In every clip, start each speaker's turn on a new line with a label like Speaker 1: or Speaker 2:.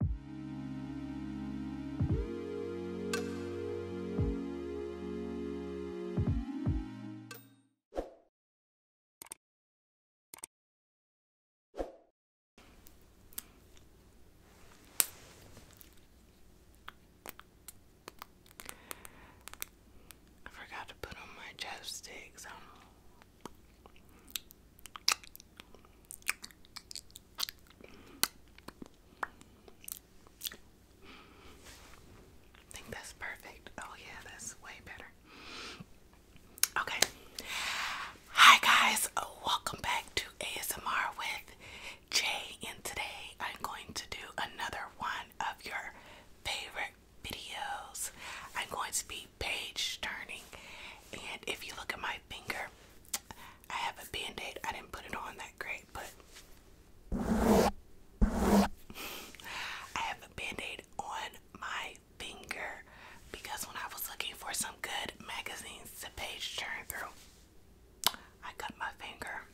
Speaker 1: I forgot to put on my chapsticks. I think that's perfect. Oh, yeah, that's way better. Okay. Hi, guys. Welcome back to ASMR with Jay, and today I'm going to do another one of your favorite videos. I'm going to be page turning, and if you look at my finger, I have a band aid. I didn't put it on that great, but I have a band aid on my finger because when I was looking for some good magazines to page turn through, I cut my finger.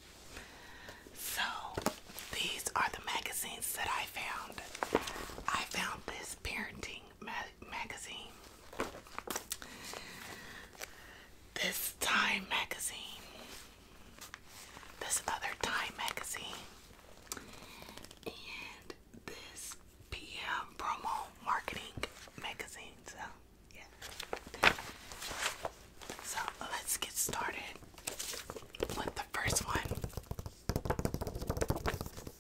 Speaker 1: So these are the magazines that I found. I found this parenting magazine. This Time magazine. This other Time magazine. And this PM promo marketing magazine. So, yeah. So, let's get started with the first one.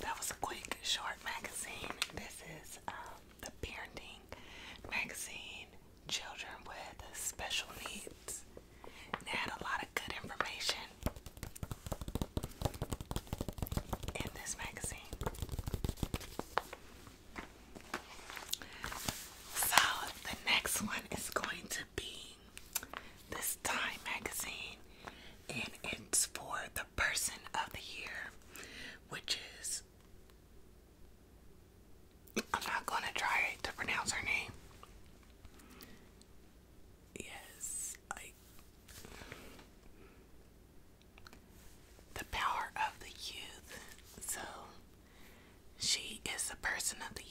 Speaker 1: That was a quick, short magazine. This is um, the Parenting Magazine Children with Special Needs. And had a lot of good information in this magazine. So the next one is going to be this Time magazine, and it's for the person of the year, which is I'm not going to try to pronounce her name. Yes, I the power of the youth. So she is the person of the year.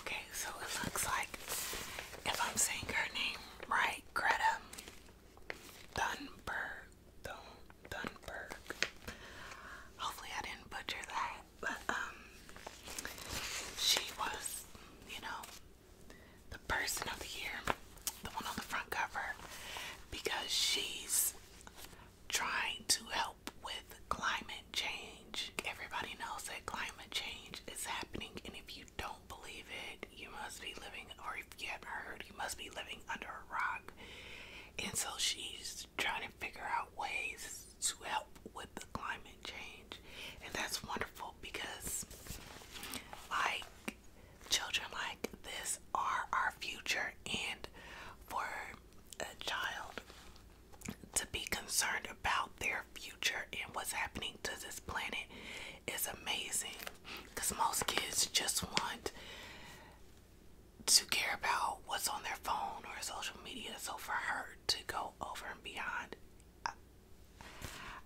Speaker 1: Okay, so it looks like if I'm saying her name right, Greta Dunberg. Dun Dunberg. Hopefully I didn't butcher that, but um she was, you know, the person of the year, the one on the front cover, because she's trying to help with climate change. Everybody knows that climate change is happening, and if you don't believe it, you must be living, or if you haven't heard, you must be living under a rock. And so she's trying to figure out ways to help with the climate change, and that's wonderful because, like, children like this are our future, and for a child to be concerned about their future and what's happening to this planet is amazing because most kids just want to care about what's on their phone or social media. So for her to go over and beyond, I,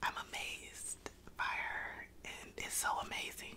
Speaker 1: am amazed by her, and it's so amazing.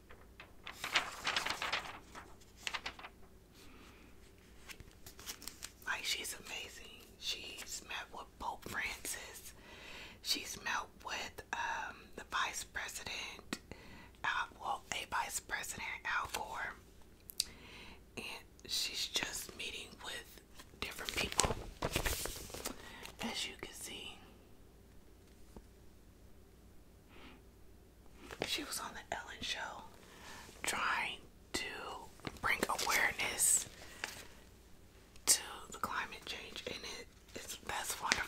Speaker 1: Like she's amazing. She's met with Pope Francis. She's met with um, the vice president, well, a vice president, Al Gore. And she's just meeting with different people, as you can see. She was on the Ellen show trying to bring awareness to the climate change and it's that's wonderful.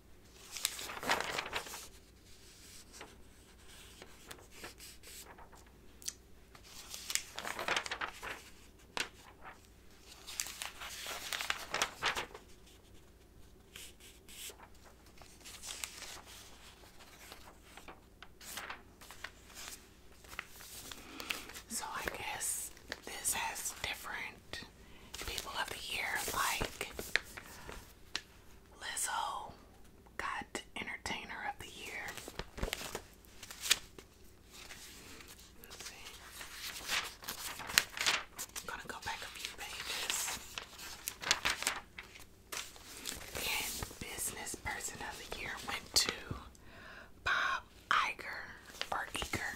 Speaker 1: So I guess this has different people of the year like Lizzo got Entertainer of the Year. Let's see. gonna go back a few pages. Business Person of the Year went to Bob Iger or Eager.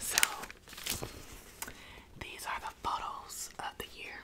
Speaker 1: So, these are the photos of the year.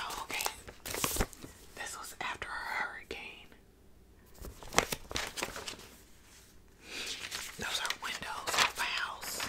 Speaker 1: Oh, okay. This was after a hurricane. Those are windows of a house.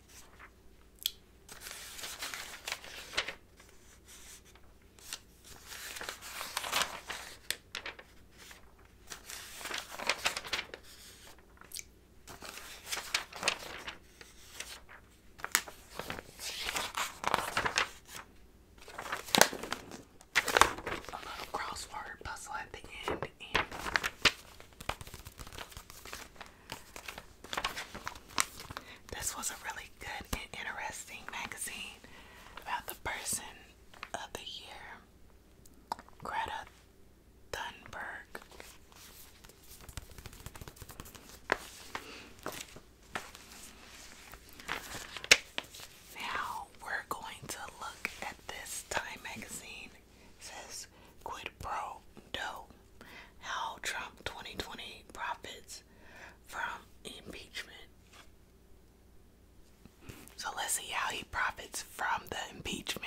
Speaker 1: A little crossword puzzle at the end, and this was a really good and interesting magazine about the person of the year, Greta Thunberg. Now we're going to look at this Time magazine says quid pro do how Trump 2020 profits from impeachment. So let's see how he profits from the impeachment.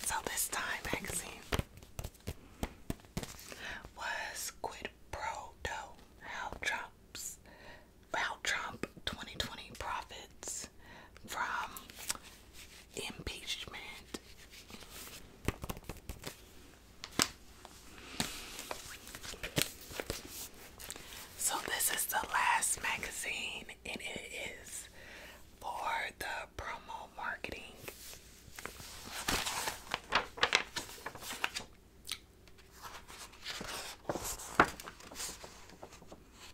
Speaker 1: So this time magazine was quid pro do how Trump's how Trump 2020 profits from impeachment. So, this is the last magazine, and it is for the promo marketing.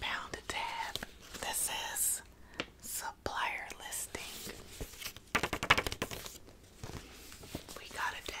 Speaker 1: Found a tab that says supplier listing. We got a tab.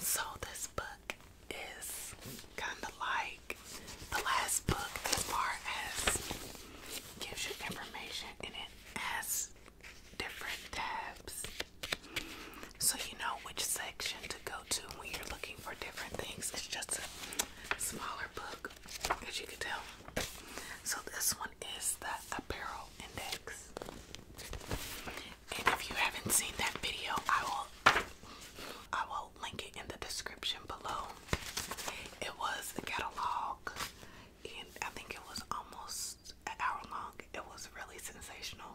Speaker 1: So, this book is kind of like the last book as far as gives you information and it has different tabs so you know which section to go to when you're looking for different things. It's just a smaller book, as you can tell. So this one is the Apparel Index. And if you haven't seen that video, I will I will link it in the description below. It was a catalog and I think it was almost an hour long. It was really sensational.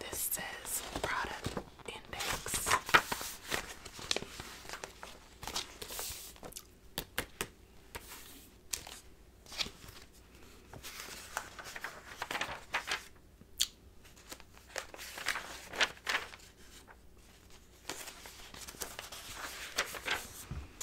Speaker 1: This says product index.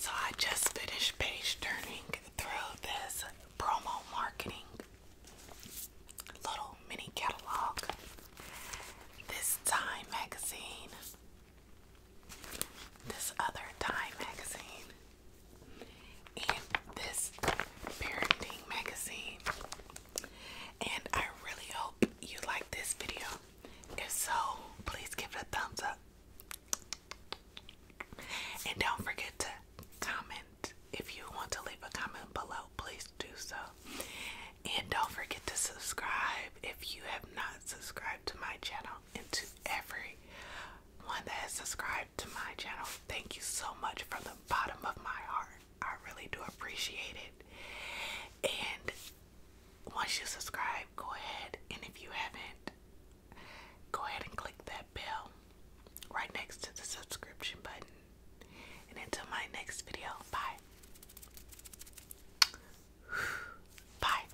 Speaker 1: So I just finished page turning through this promo marketing little mini catalog. This Time magazine, this other Time magazine, and this parenting magazine. And I really hope you like this video. If so, please give it a thumbs up. And don't forget to comment, if you want to leave a comment below, please do so. And don't forget to subscribe if you have not subscribed to my channel and to every one that has subscribed to my channel. Thank you so much from the bottom of my heart. I really do appreciate it. And once you subscribe, go ahead and if you haven't, go ahead and click that bell right next to the subscription button. And until my next video, bye. Bye.